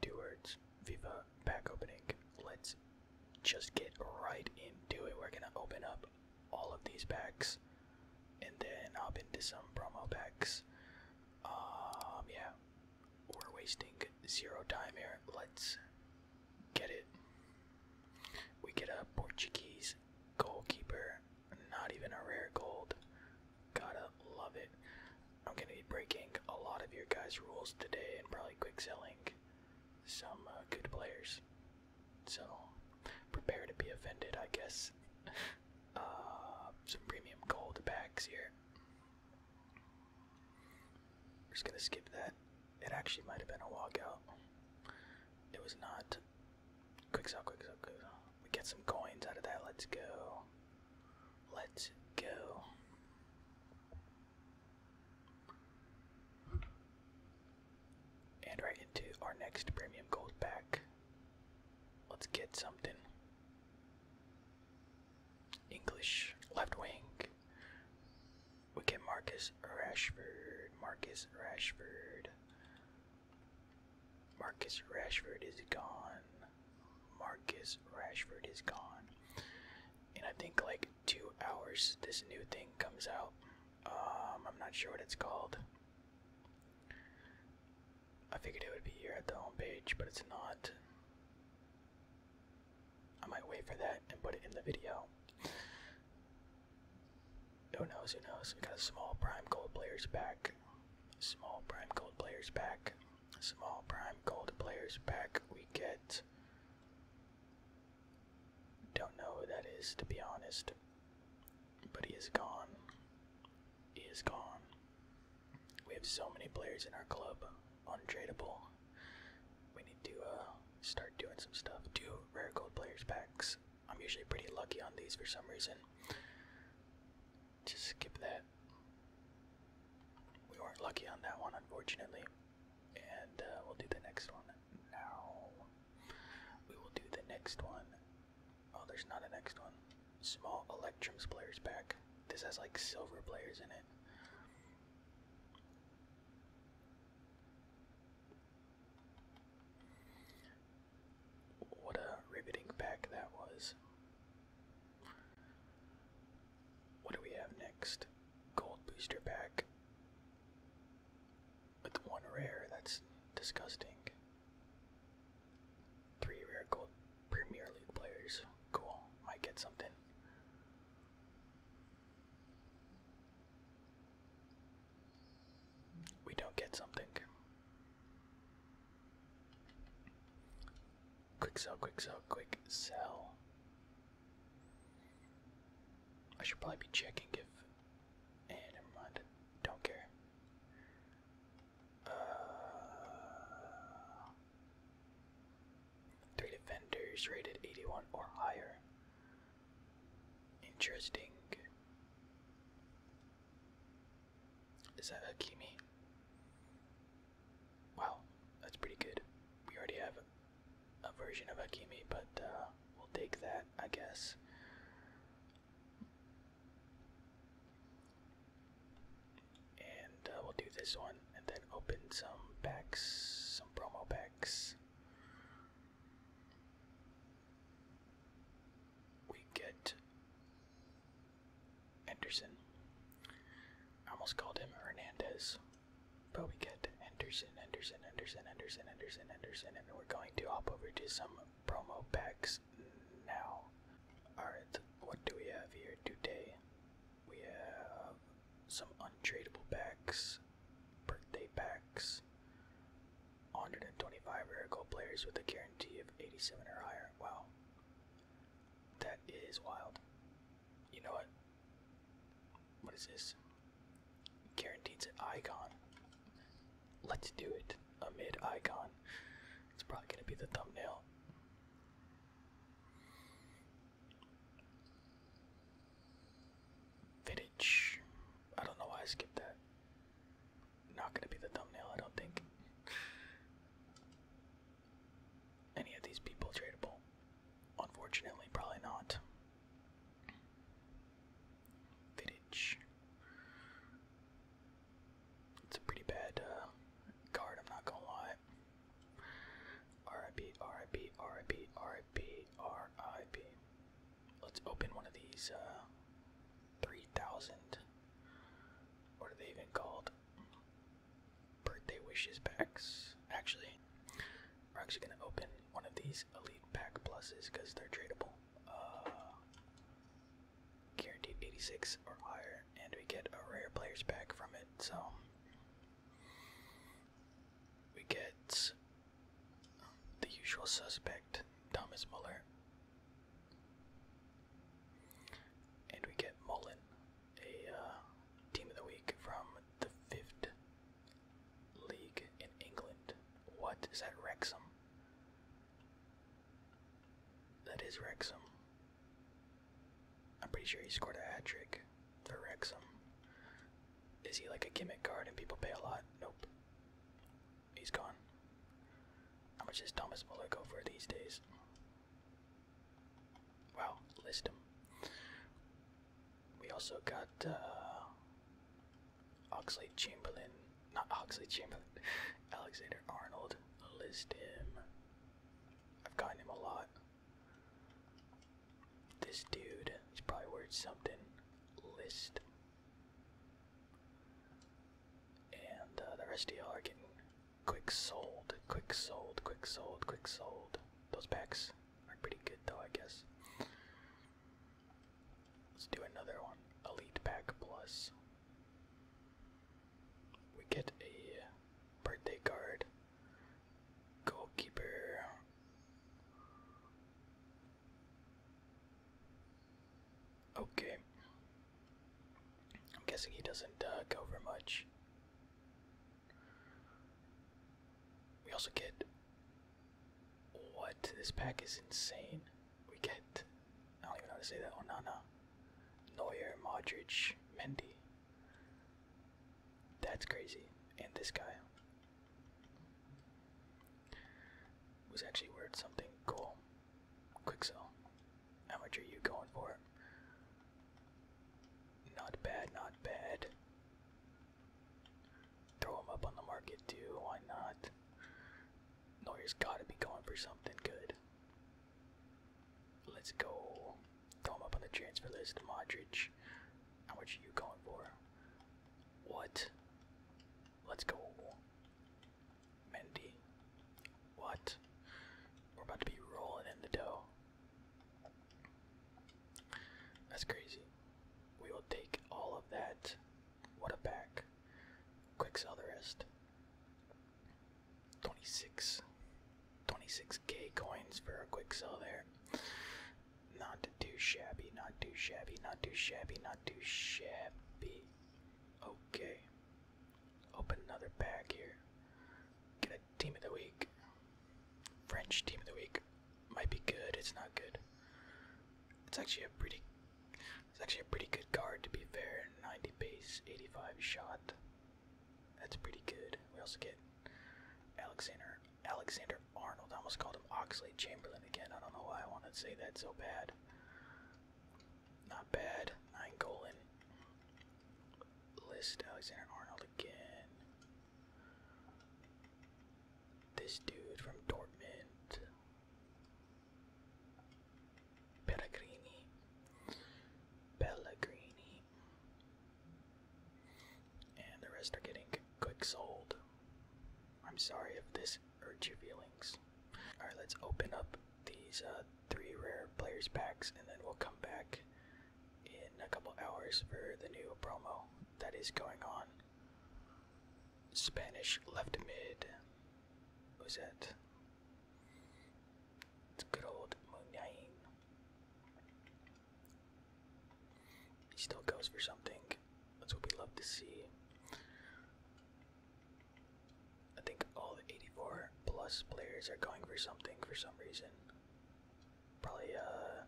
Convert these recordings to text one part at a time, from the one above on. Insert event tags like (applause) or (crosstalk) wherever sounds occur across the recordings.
Two words, Viva pack opening. Let's just get right into it. We're gonna open up all of these packs and then hop into some promo packs. Um, yeah, we're wasting zero time here. Let's get it. We get a Portuguese goalkeeper. Not even a rare gold. Gotta love it. I'm gonna be breaking a lot of your guys' rules today and probably quick selling some uh, good players. So prepare to be offended, I guess. (laughs) Uh, some premium gold bags here. I'm just gonna skip that. It actually might have been a walkout. It was not. Quick sell, quick sell, quick sell. We get some coins out of that. Let's go. Let's go. And right into our next premium gold pack. Let's get something. English left wing. We get Marcus Rashford. Marcus Rashford. Marcus Rashford is gone. Marcus Rashford is gone. And I think like two hours this new thing comes out. Um, I'm not sure what it's called. I figured it would be here at the homepage, but it's not. I might wait for that and put it in the video. Who knows? Who knows? We got a small prime gold players back. Small prime gold players back. Small prime gold players back. We get. Don't know who that is, to be honest. But he is gone. He is gone. We have so many players in our club, untradable. We need to uh, start doing some stuff. Do rare gold players packs. I'm usually pretty lucky on these for some reason. Just skip that. We weren't lucky on that one, unfortunately. And uh, we'll do the next one now. We will do the next one. Oh, there's not a next one small Electrum players pack. This has like silver players in it. What a riveting pack that was. What do we have next? Gold booster pack. With one rare, that's disgusting. Three rare gold Premier League players. Cool. Might get something. We don't get something. Quick sell, quick sell, quick sell. I should probably be checking if. And eh, Don't care. Uh, three defenders rated 81 or higher. Interesting. Is that Akimi? Wow, that's pretty good. We already have a, version of Akimi, but uh, we'll take that, I guess. And uh, we'll do this one and then open some packs, some promo packs. We get Henderson. almost called him Hernandez. But we get Anderson, Anderson, Anderson, Anderson, Anderson, Anderson, and we're going to hop over to some promo packs now. Alright, what do we have here today? We have some untradeable packs, birthday packs, 125 rare gold players with a guarantee of 87 or higher. Wow. That is wild. You know what? What is this? Guaranteed icon. Let's do it. Amid icon. It's probably gonna be the thumbnail. Vidic. I don't know why I skipped that. Not gonna be the thumbnail, I don't think. Any of these people tradable? Unfortunately, probably not. Vidic. It's a pretty bad uh, card, I'm not gonna lie. RIP, Let's open one of these uh, 3,000. What are they even called? Birthday wishes packs. Actually, we're actually gonna open one of these elite pack pluses because they're tradable. Uh, guaranteed 86 or higher, and we get a rare players pack from it. So we get the usual suspect, Thomas Muller, and we get Mullen, a uh, team of the week from the fifth league in England. What is that, Wrexham? That is Wrexham. I'm pretty sure he scored a hat trick for Wrexham. Is he like a gimmick card and people pay a lot? Nope. He's gone. How much does Thomas Muller go for these days? Wow, list We also got uh, Oxley Chamberlain not Oxley Chamberlain, (laughs) Alexander Arnold. List him. I've gotten him a lot. This dude is probably worth something. List. And uh, the rest of y'all are getting quick sold, quick sold, quick sold, quick sold. Those packs are pretty good though, I guess. Let's do another one. Elite pack plus. We get a uh, birthday card. Goalkeeper. Okay. I'm guessing he doesn't uh, go for much. We also get. What? This pack is insane we get I don't even know how to say that Onana, Neuer, Modric, Mendy. That's crazy. And this guy was actually worth something cool. Quick How much are you going for? Not bad, not bad. Throw him up on the market too, why not? neuer gotta be going for something good. Let's go. Throw him up on the transfer list. Modric. How much are you going for? What? Let's go. Mendy. What? We're about to be rolling in the dough. That's crazy. We will take all of that. What a back. Quick sell the rest. 26 k coins for a quick sell there. Not too shabby, not too shabby, not too shabby, not too shabby. Okay. Open another pack here. Get a team of the week. French team of the week. Might be good, it's not good. It's actually a pretty it's actually a pretty good card to be fair. 90 base, 85 shot. That's pretty good. We also get Alexander Alexander Arnold. I almost called him Oxley Chamberlain again. I don't know why I want to say that so bad. Not bad. Nine goal in. List Alexander Arnold again. This dude from Dortmund. Pellegrini, Pellegrini, and the rest are getting quick sold. I'm sorry if this hurts your feelings. All right, let's open up these uh, three rare players packs, and then we'll come back in a couple hours for the new promo that is going on. Spanish left mid. Who's that? It's good old Munyain. He still goes for something. That's what we love to see. I think all 84 plus players are going for something for some reason. Probably uh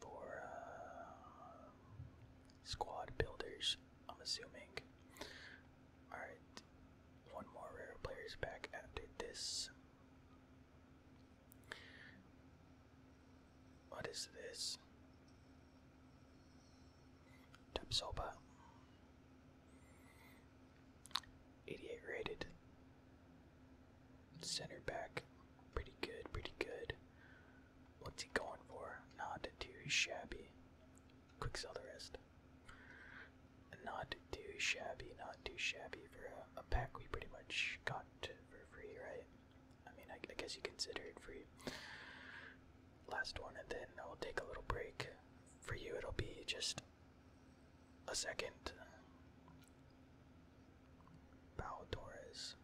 for uh, squad builders. I'm assuming. Alright, one more rare player's back after this. What is this? Tapsoba. 88 rated. Center back. Pretty good, pretty good. What's he going for? Not too shabby. Quick sell the rest. Not too shabby, not too shabby for a, pack we pretty much got for free, right? I mean, I, guess you consider it free. Last one, and then i will take a little break. For you, it'll be just a second. Bow Torres.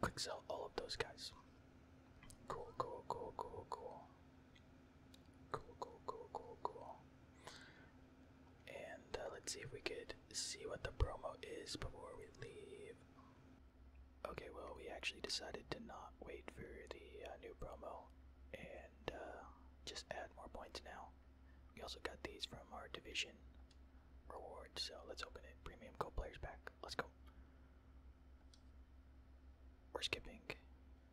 Quick sell all of those guys. Cool, cool, cool, cool, cool. Cool, cool, cool, cool, cool. And uh, let's see if we could see what the promo is before we leave. Okay, well, we actually decided to not wait for the uh, new promo and uh, just add more points now. We also got these from our division reward. So let's open it. Premium co players pack. Let's go. We're skipping.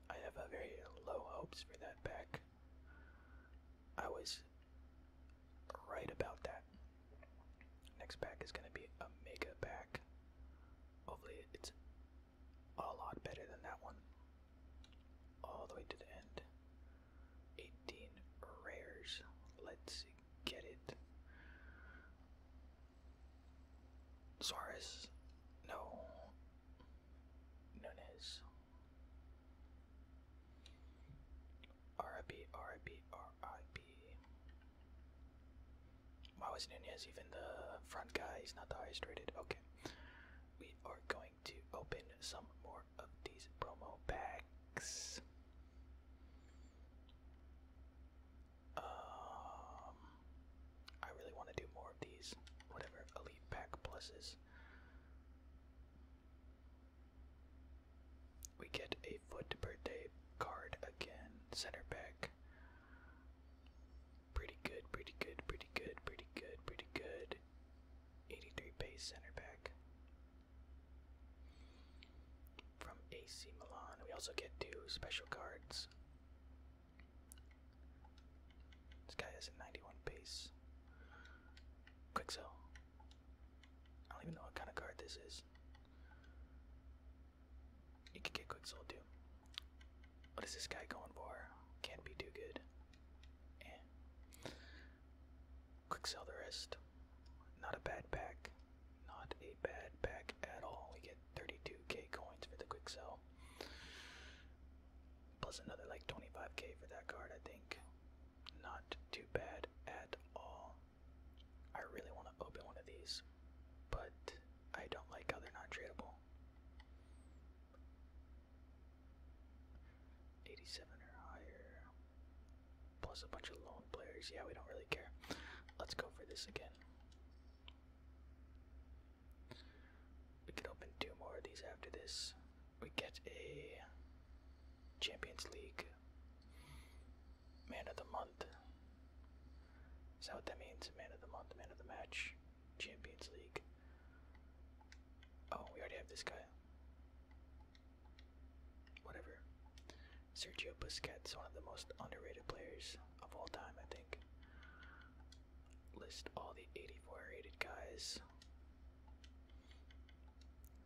I have a very low hopes for that pack. I was right about that. Next pack is gonna be a mega pack. Hopefully it's a lot better than that one. All the way to the end. 18 rares. Let's get it. Suarez. No. Nunez. RIP, RIP, RIP. Why was Nunez even the front guy? He's not the highest rated. Okay. We are going to open some more of these promo packs. Um, I really want to do more of these, whatever elite pack pluses. We get a foot birthday card again, center back. Pretty good, pretty good, pretty good, pretty good, pretty good. 83 base center back. From AC Milan. We also get two special cards. This guy has a 91 base. Quick sell. I don't even know what kind of card this is. He could get Quick Soul too. What is this guy going for? Can't be too good. Eh. Quick sell the rest. Not a bad pack. Not a bad pack at all. We get 32k coins for the quick sell. Plus another like 25k for that card, I think. Not too bad at all. I really want to open one of these, but I don't like how they're not tradable. 87 or higher. Plus a bunch of lone players. Yeah, we don't really care. Let's go for this again. We could open two more of these after this. We get a Champions League Man of the Month. Is that what that means? Man of the Month, Man of the Match, Champions League. Oh, we already have this guy whatever. Sergio Busquets, one of the most underrated players of all time, I think. List all the 84 rated guys.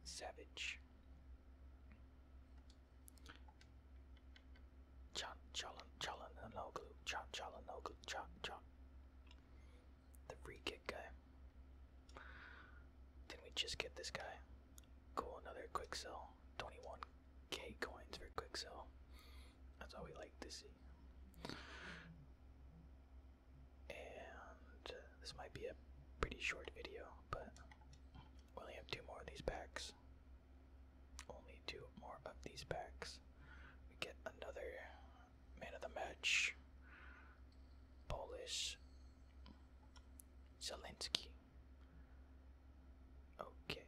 Savage. Chan Chalan Chalanoglu. Chan Chalanoglu. Chan Chan the free kick guy. did we just get this guy? Cool, another quick sell. 21k coins for quick sell. That's all we like to see. And uh, this might be a pretty short video, but we only have two more of these packs. Only two more of these packs. We get another man of the match, Polish Zelensky. Okay.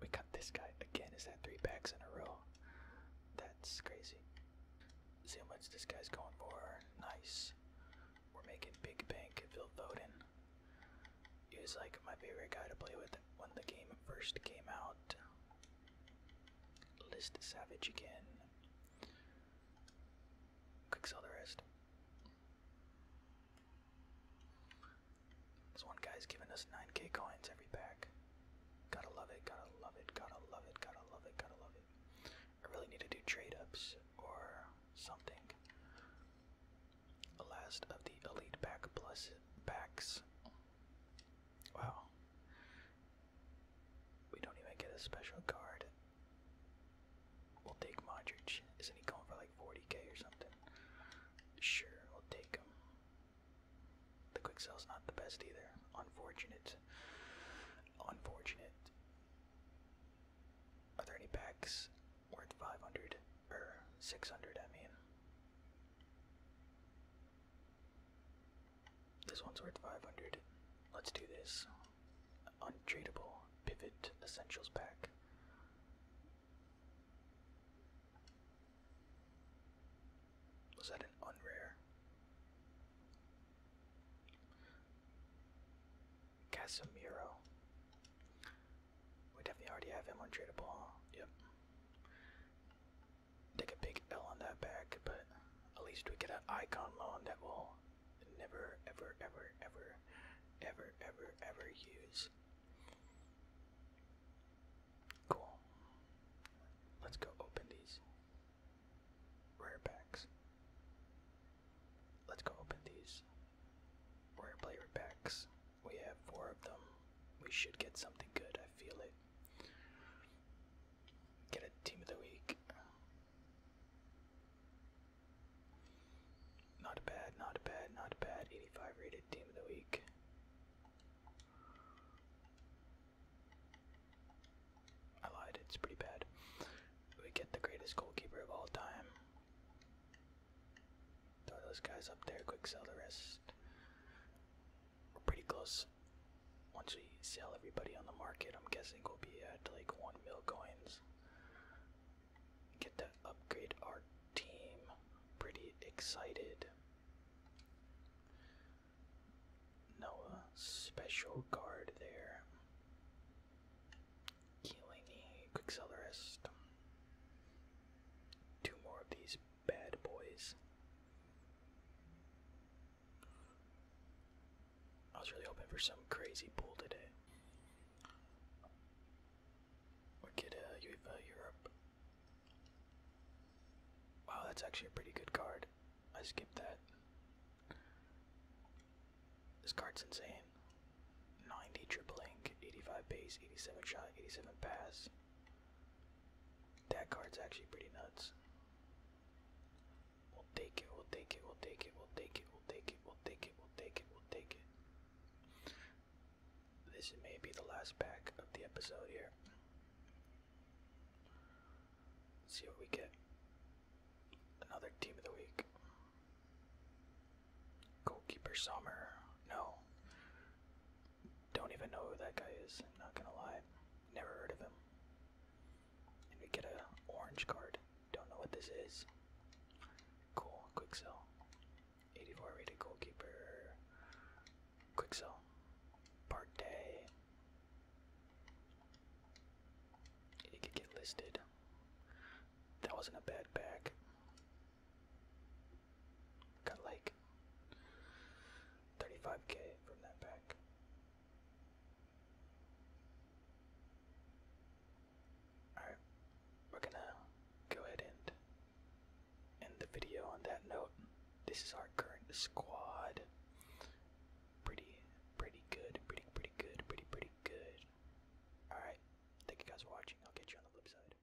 We got this guy again. Is that three packs in a row? That's crazy. See how much this guy's going for. Nice. We're making big bank at Vilvoden. He was like my favorite guy to play with when the game first came out. List Savage again. Quick sell the rest. This one guy's giving us 9k coins every pack. Gotta love it, gotta love it, gotta love it, gotta love it, gotta love it. I really need to do trade ups or something. The last of the elite pack plus packs. Wow. We don't even get a special card. We'll take Modric. Isn't he going for like 40k or something? Sure, we'll take him. The quick sale's not the best either. Unfortunate. Unfortunate. Are there any packs worth 500 or 600? I mean, this one's worth 500. Let's do this. Untradeable Pivot Essentials Pack. Was that an unrare? Casemiro. We definitely already have him untradeable, huh? Yep take a big L on that back, but at least we get an icon loan that we'll never, ever, ever, ever, ever, ever, ever use. Cool. Let's go open these rare packs. Let's go open these rare player packs. We have four of them. We should get something good, I feel it. Get a team of the week. Not bad, not bad, not bad. 85 rated team of the week. I lied, it's pretty bad. We get the greatest goalkeeper of all time. Throw those guys up there, quick sell the rest we're pretty close. Once we sell everybody on the market, I'm guessing we'll be at like 1 mil coins. Get to upgrade our team. Pretty excited. Noah, special guard there. Keeling Quicksilverist. Two more of these bad boys. I was really hoping for some crazy pull today. Or get UEFA Europe. Wow, that's actually a pretty good card. I skipped that. This card's insane. 90 triple ink, 85 base, 87 shy, 87 pass. That card's actually pretty nuts. We'll take it, we'll take it, we'll take it, we'll take it, we'll take it, we'll take it, we'll take it, we'll take it. This may be the last pack of the episode here. see what we get. Another team of the week. Goalkeeper Summer. No. Don't even know who that guy is, I'm not gonna lie. Never heard of him. And we get a orange card. Don't know what this is. Cool, quick sell. 84 rated goalkeeper. Quick sell. Partey. It could get listed. That wasn't a bad pack. Got like 35k from that pack. Alright, we're gonna go ahead and end the video on that note. This is our current squad. Pretty, pretty good, pretty, pretty good, pretty, pretty good. Alright, thank you guys for watching. I'll get you on the flip side.